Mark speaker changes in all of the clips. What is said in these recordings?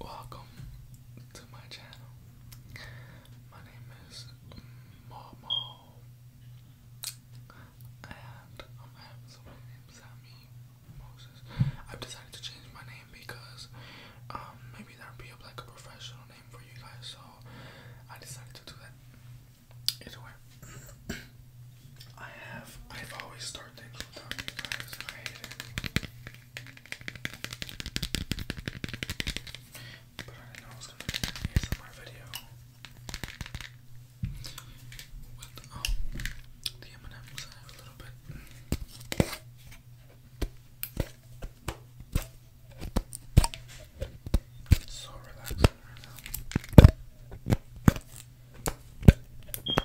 Speaker 1: Welcome to my channel. My name is Momo, and I'm having Sammy Moses. I've decided to change my name because um, maybe that would be a, like a professional name for you guys, so I decided to do that. Either I have I've always started things without you guys, but I know I was gonna make an ASMR video with oh the M&M's I have a little bit. It's so relaxing right now.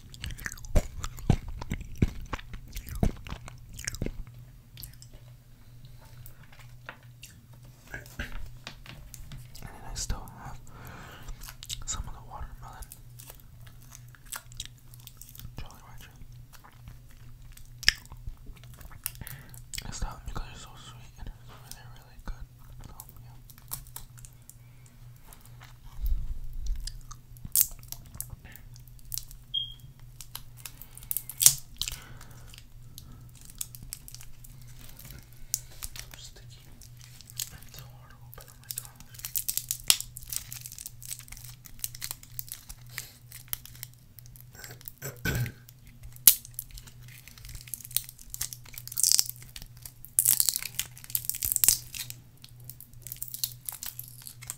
Speaker 1: and I still have some of the watermelon Jolly Rancher. It's because it's so sweet and it's really, really good. So sticky. It's hard to open on my tongue.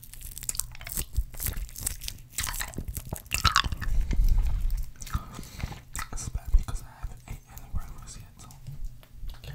Speaker 1: This is bad because I haven't ate any breakfast yet, so. Okay.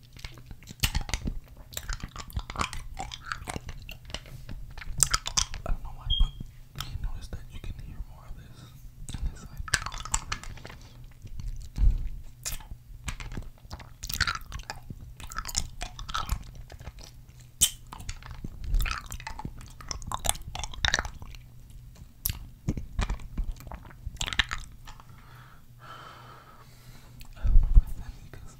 Speaker 1: I don't know why, but you notice that you can hear more of this on this side. I don't know if because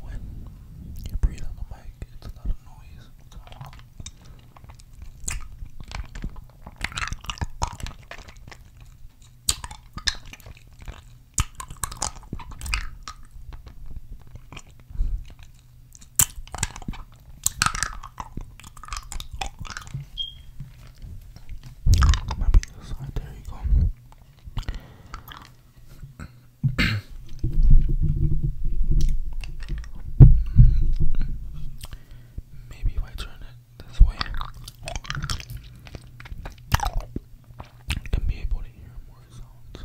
Speaker 1: when you breathe on the mic, it's a lot of noise. Maybe this side. There you go. Maybe if I turn it this way, I can be able to hear more sounds.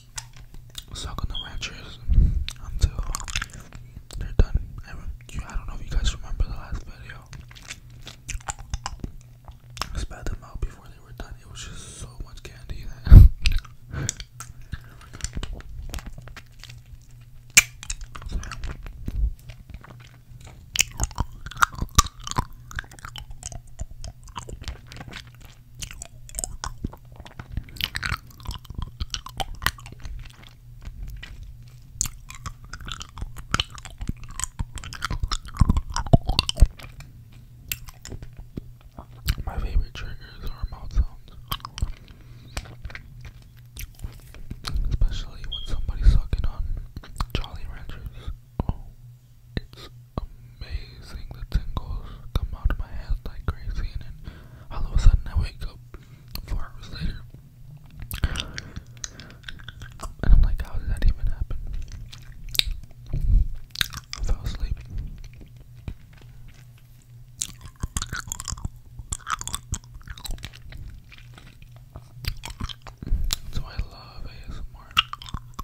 Speaker 1: suck on the ranchers until they're done. I, don't know if you guys remember the last video. I them out before they were done. It was just so much candy My favorite triggers are mouth sounds, especially when somebody's sucking on Jolly Ranchers. Oh. It's amazing. The tingles come out of my head like crazy, and then all of a sudden I wake up four hours later. And I'm like, how did that even happen? I fell asleep. So I love ASMR.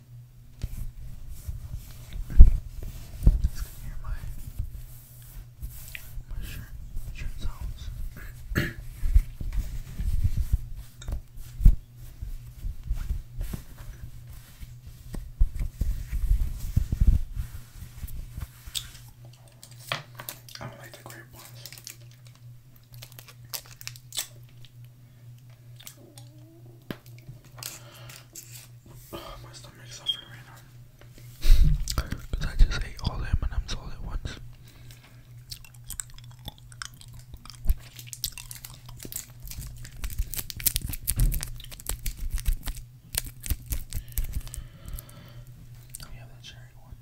Speaker 1: Just gonna hear my my shirt shirt sounds. I don't like the grape ones. Oh, my stomach's suffering Because I just ate all the M&M's all at once. Oh, yeah, the cherry one.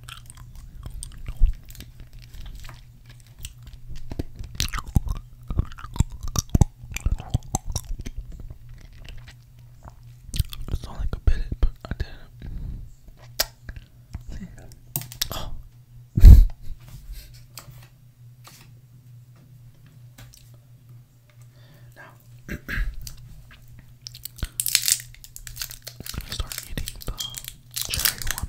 Speaker 1: It's not like a bit, but I did it. Oh. now, I'm gonna start eating the cherry one.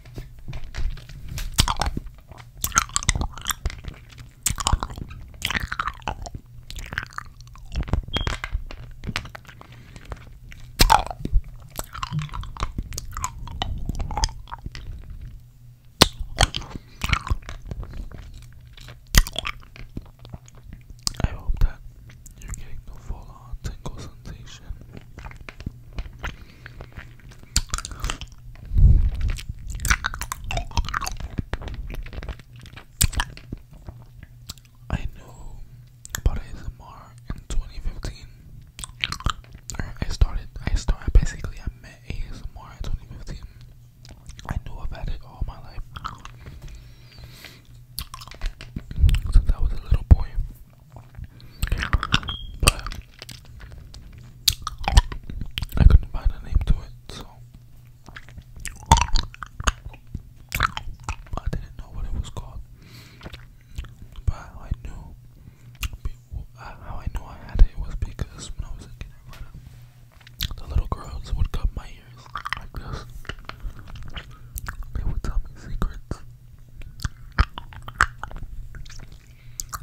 Speaker 1: I hope that you're getting the full on tingle sensation. I knew about ASMR in 2015. I started, I started, basically I met ASMR in 2015. I knew about it all my life. Since I was a little boy. But I couldn't find a name to it, so I didn't know what it was called. But I knew uh, how I knew I had it was because when I was a kid, the little girls would cut my ears like this. They would tell me secrets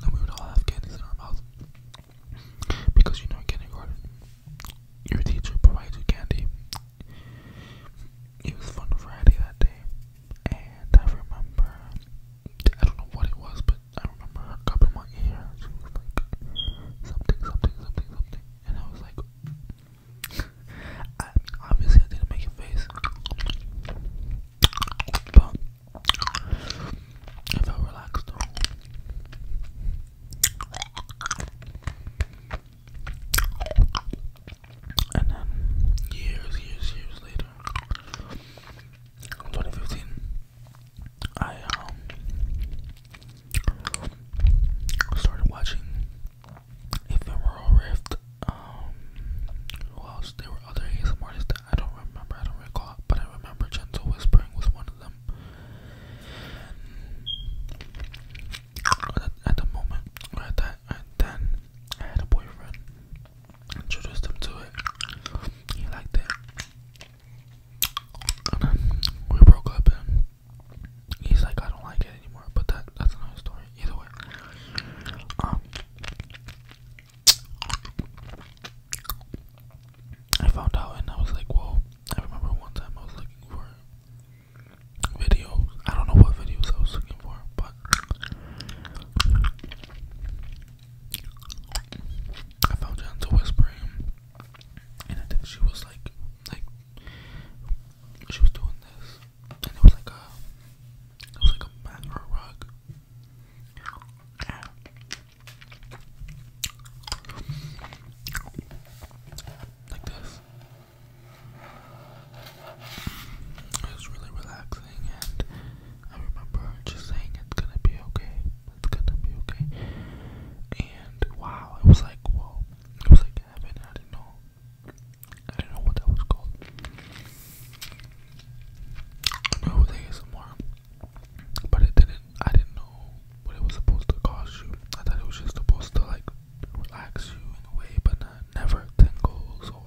Speaker 1: and we would all have candies in our mouth. Because you know, in kindergarten, your teacher provides you candy. It was Fun Friday that day, and I remember I don't know what it was, but I remember her cup in my ear. She was like something, something, something, something, and I was like, I, obviously I didn't make a face, but I felt relaxed. And then years, years, years later, 2015, I um, started watching Ephemeral Rift um who else? There were other ASM artists that I don't remember, I don't recall, but I remember Gentle Whispering was one of them. At, the moment, at that, and then I had a boyfriend. Introduced him to it. He liked it. we broke up, and he's like, I don't like it anymore. But that that's another story. Either way, um, I found out and I was like, whoa. I remember one time I was looking for videos. I don't know what videos I was looking for, but I found Janta whispering and I think she was like like she was doing this it was like a, it was like a mat rug. Like this. It was really relaxing, and I remember just saying it's gonna be okay. It's gonna be okay. And wow, it was like whoa, it was like I didn't know I don't know what that was called. I know it was ASMR, but it didn't. I didn't know what it was supposed to cause you. I thought it was just supposed to like relax you in a way, but not never tingles or.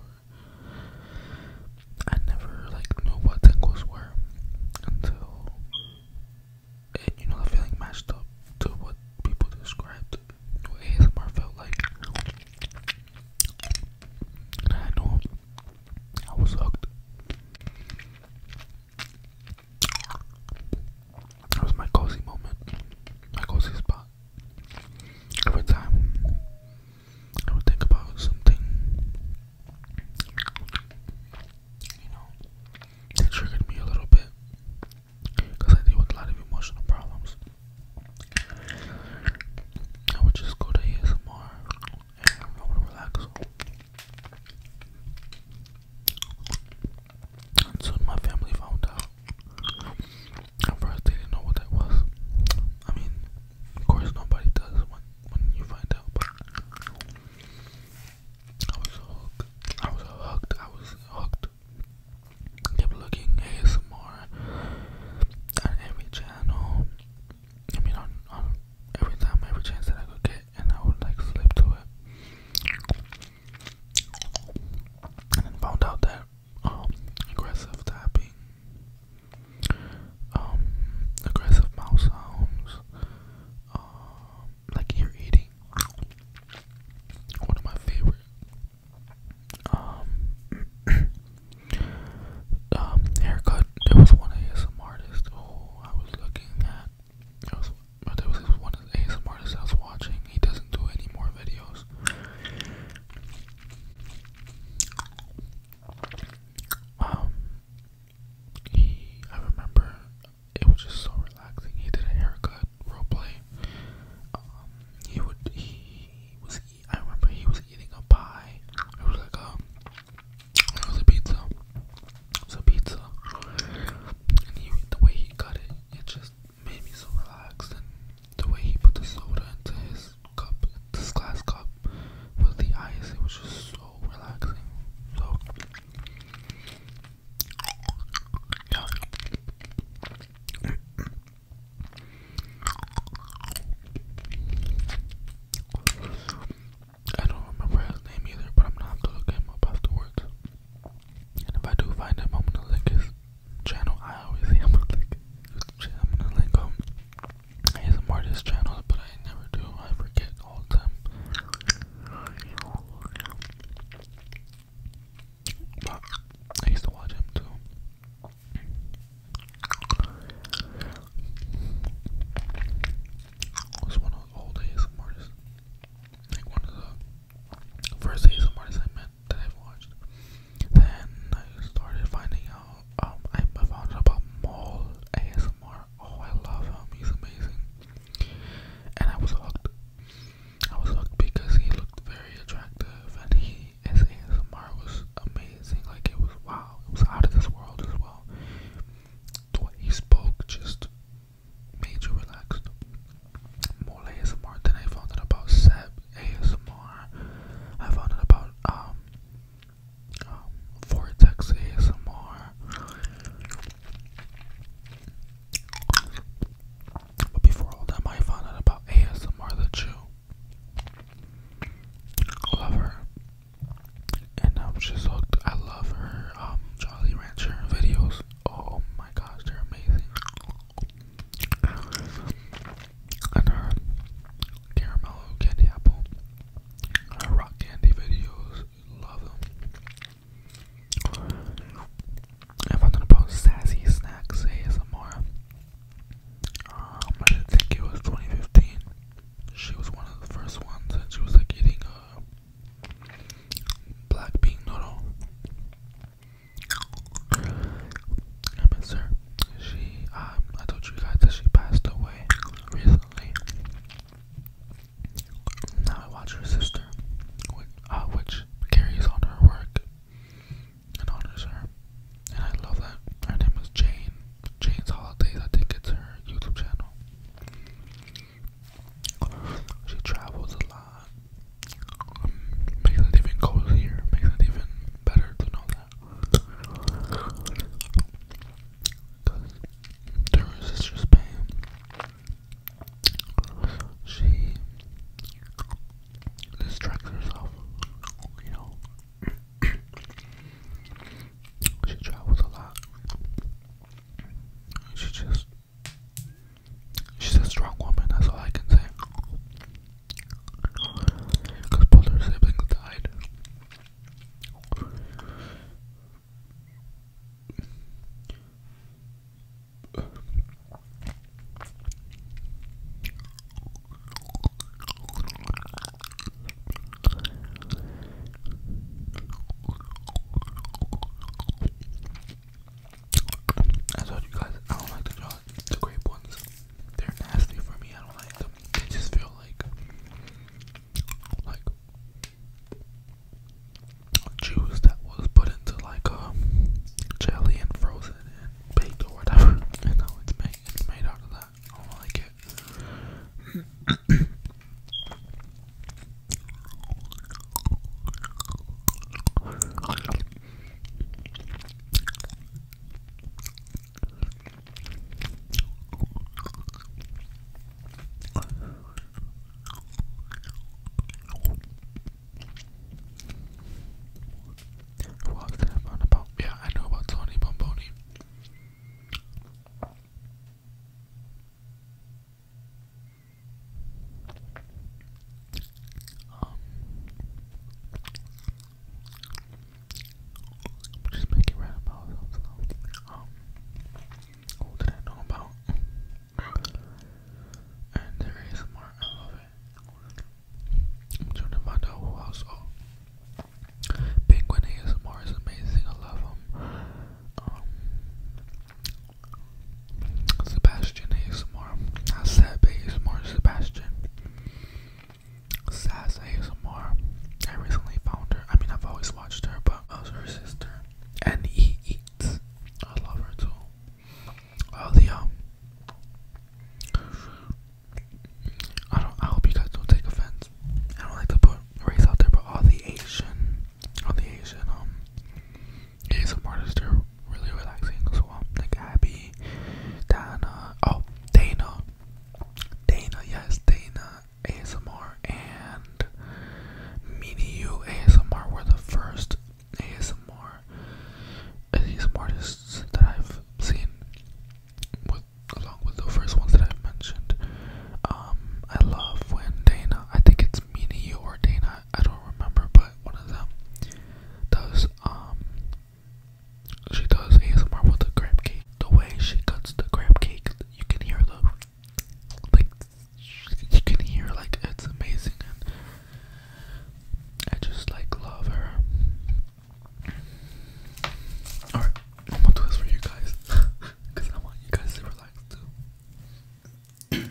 Speaker 1: I never like knew what tingles were until it, you know the feeling matched up to what people described what ASMR felt like. And I know I was hooked. It was my cozy moment, my cozy spot. Every time I would think about something, you know, that triggered me a little bit because I deal with a lot of emotional problems. I would just go to ASMR and I relax. And soon my family found out. At first they didn't know what that was. I mean, of course nobody does when, when you find out, but I was hooked. I was hooked. I was hooked keep looking ASMR on every channel. I mean, on, on every time, every chance that I could get, and I would like slip to it. And then found out that um, aggressive tapping, um, aggressive mouse sounds, um, like ear eating, one of my favorite um, um, haircut. There was one ASM artist who oh, I was looking at. It was, there was one ASM artist I was watching. He doesn't do any more videos. Um, he, I remember it was just so relaxing. He did a haircut role play. Um, he would, he was I remember he was eating a pie. It was like a, um, it was a pizza. It was a pizza. And he, the way he cut it, it just made me so relaxed. And the way he put the soda into his cup, this glass cup, with the ice, it was just so relaxing. So, I don't remember his name either, but I'm gonna have to look him up afterwards. And if I do find him, I'm gonna link his channel. I always say am to link his I'm gonna link um his artist channels, but I never do. I forget all the time. I used to watch him too. It was one of those old ASM artists. Like one of the first ASM artists I met that I've watched. Then I started finding out, um, I found out about Mole ASMR. Oh, I love him, he's amazing. And I was hooked. I was hooked because he looked very attractive and he me ASMR was amazing. Like it was wow, it was out of this world as well. The way he spoke just made you relaxed. More ASMR than I found out about Seb ASMR. I found out about um, um ASMR. But before all that, I found out about ASMR the Jew love her. And I'm just hooked. I love her um, Jolly Rancher videos. Oh my gosh, they're amazing. And her caramel candy apple, rock candy videos, love them. If I'm gonna post sassy snacks ASMR, um, I think it was 2015. She was one of the first ones, and she was like eating a uh, black bean noodle. I miss her. She, um, I told you guys that she passed away recently. Now I watch her sister, uh, which carries on her work and honors her. And I love that. Her name is Jane. Jane's Holidays, I think it's her YouTube channel. She travels a lot. makes it even cozier. Makes it even better to know that. Because during Sister Spain, she distracts herself, you know. she travels a lot. She just she's a strong woman, that's all I can say. Because both her siblings died. I told you guys I don't like the jaws, the grape ones. They're nasty for me. I don't like them. They just feel like like juice that was put into like a um, jelly and frozen baked or whatever. I it's made it's made out of that. I like it. Who I about? Yeah, I know about Tony Bomboni. Um, just make it right about what um, did I know about? And there is more. I love it trying who else. Oh, Penguin ASMR is amazing. I love him. Um, Sebastian ASMR. Not Seb ASMR. Sebastian. Sass ASMR. I recently found her. I mean, I've always watched her, but I uh, her sister. And he eats. I love her too all the um I don't I hope you guys don't take offense. I don't like to put race out there, but all the Asian all the Asian um some artists are really relaxing as well. Like Abby, Dana, oh Dana. Dana, yes, Dana ASMR and Mini You ASMR were the first ASMR ASMR artists that I've seen with along with the first ones that i mentioned. Um I love when Dana I think it's Mini or Dana, I don't remember, but one of them does um she does ASMR with the crab cake. The way she cuts the crab cake, you can hear the like you can hear like it's amazing and I just like love her. Alright, I'm going for you guys because I want you guys to relax too.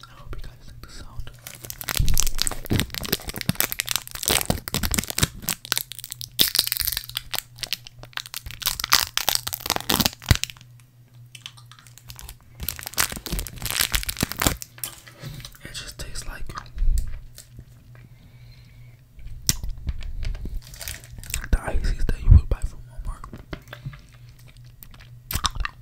Speaker 1: I hope you guys like the sound. It just tastes like the ices that you would buy from Walmart.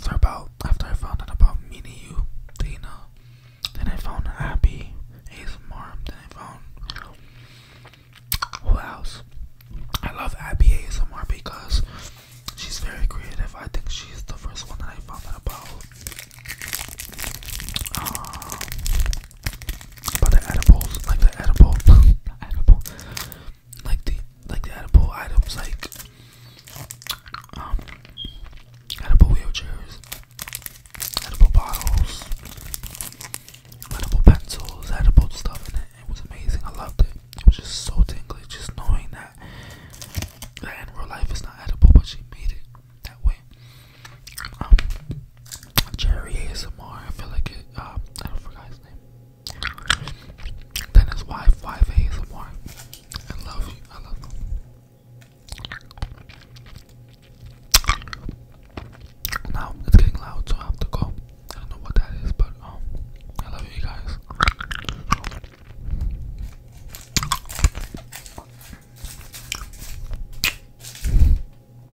Speaker 1: So about after I found out about me and You, Dana, then I found Abby, ASMR, then I found who else? I love Abby ASMR because she's very creative. I think she's the first one that I found about. Uh, but the edibles, like the edible, edible, like the like the edible items, like um, edible wheelchairs, edible bottles, edible pencils, edible stuff in it. was amazing. I loved it. It was just so tingling, just knowing that that in real life it's not edible, but she made it that way. Um, Jerry ASMR. I feel like it. Uh, I don't forget his name. Then his wife, wife ASMR. I love you. I love them. Now it's getting loud, so I have to go. I don't know what that is, but um, I love you guys.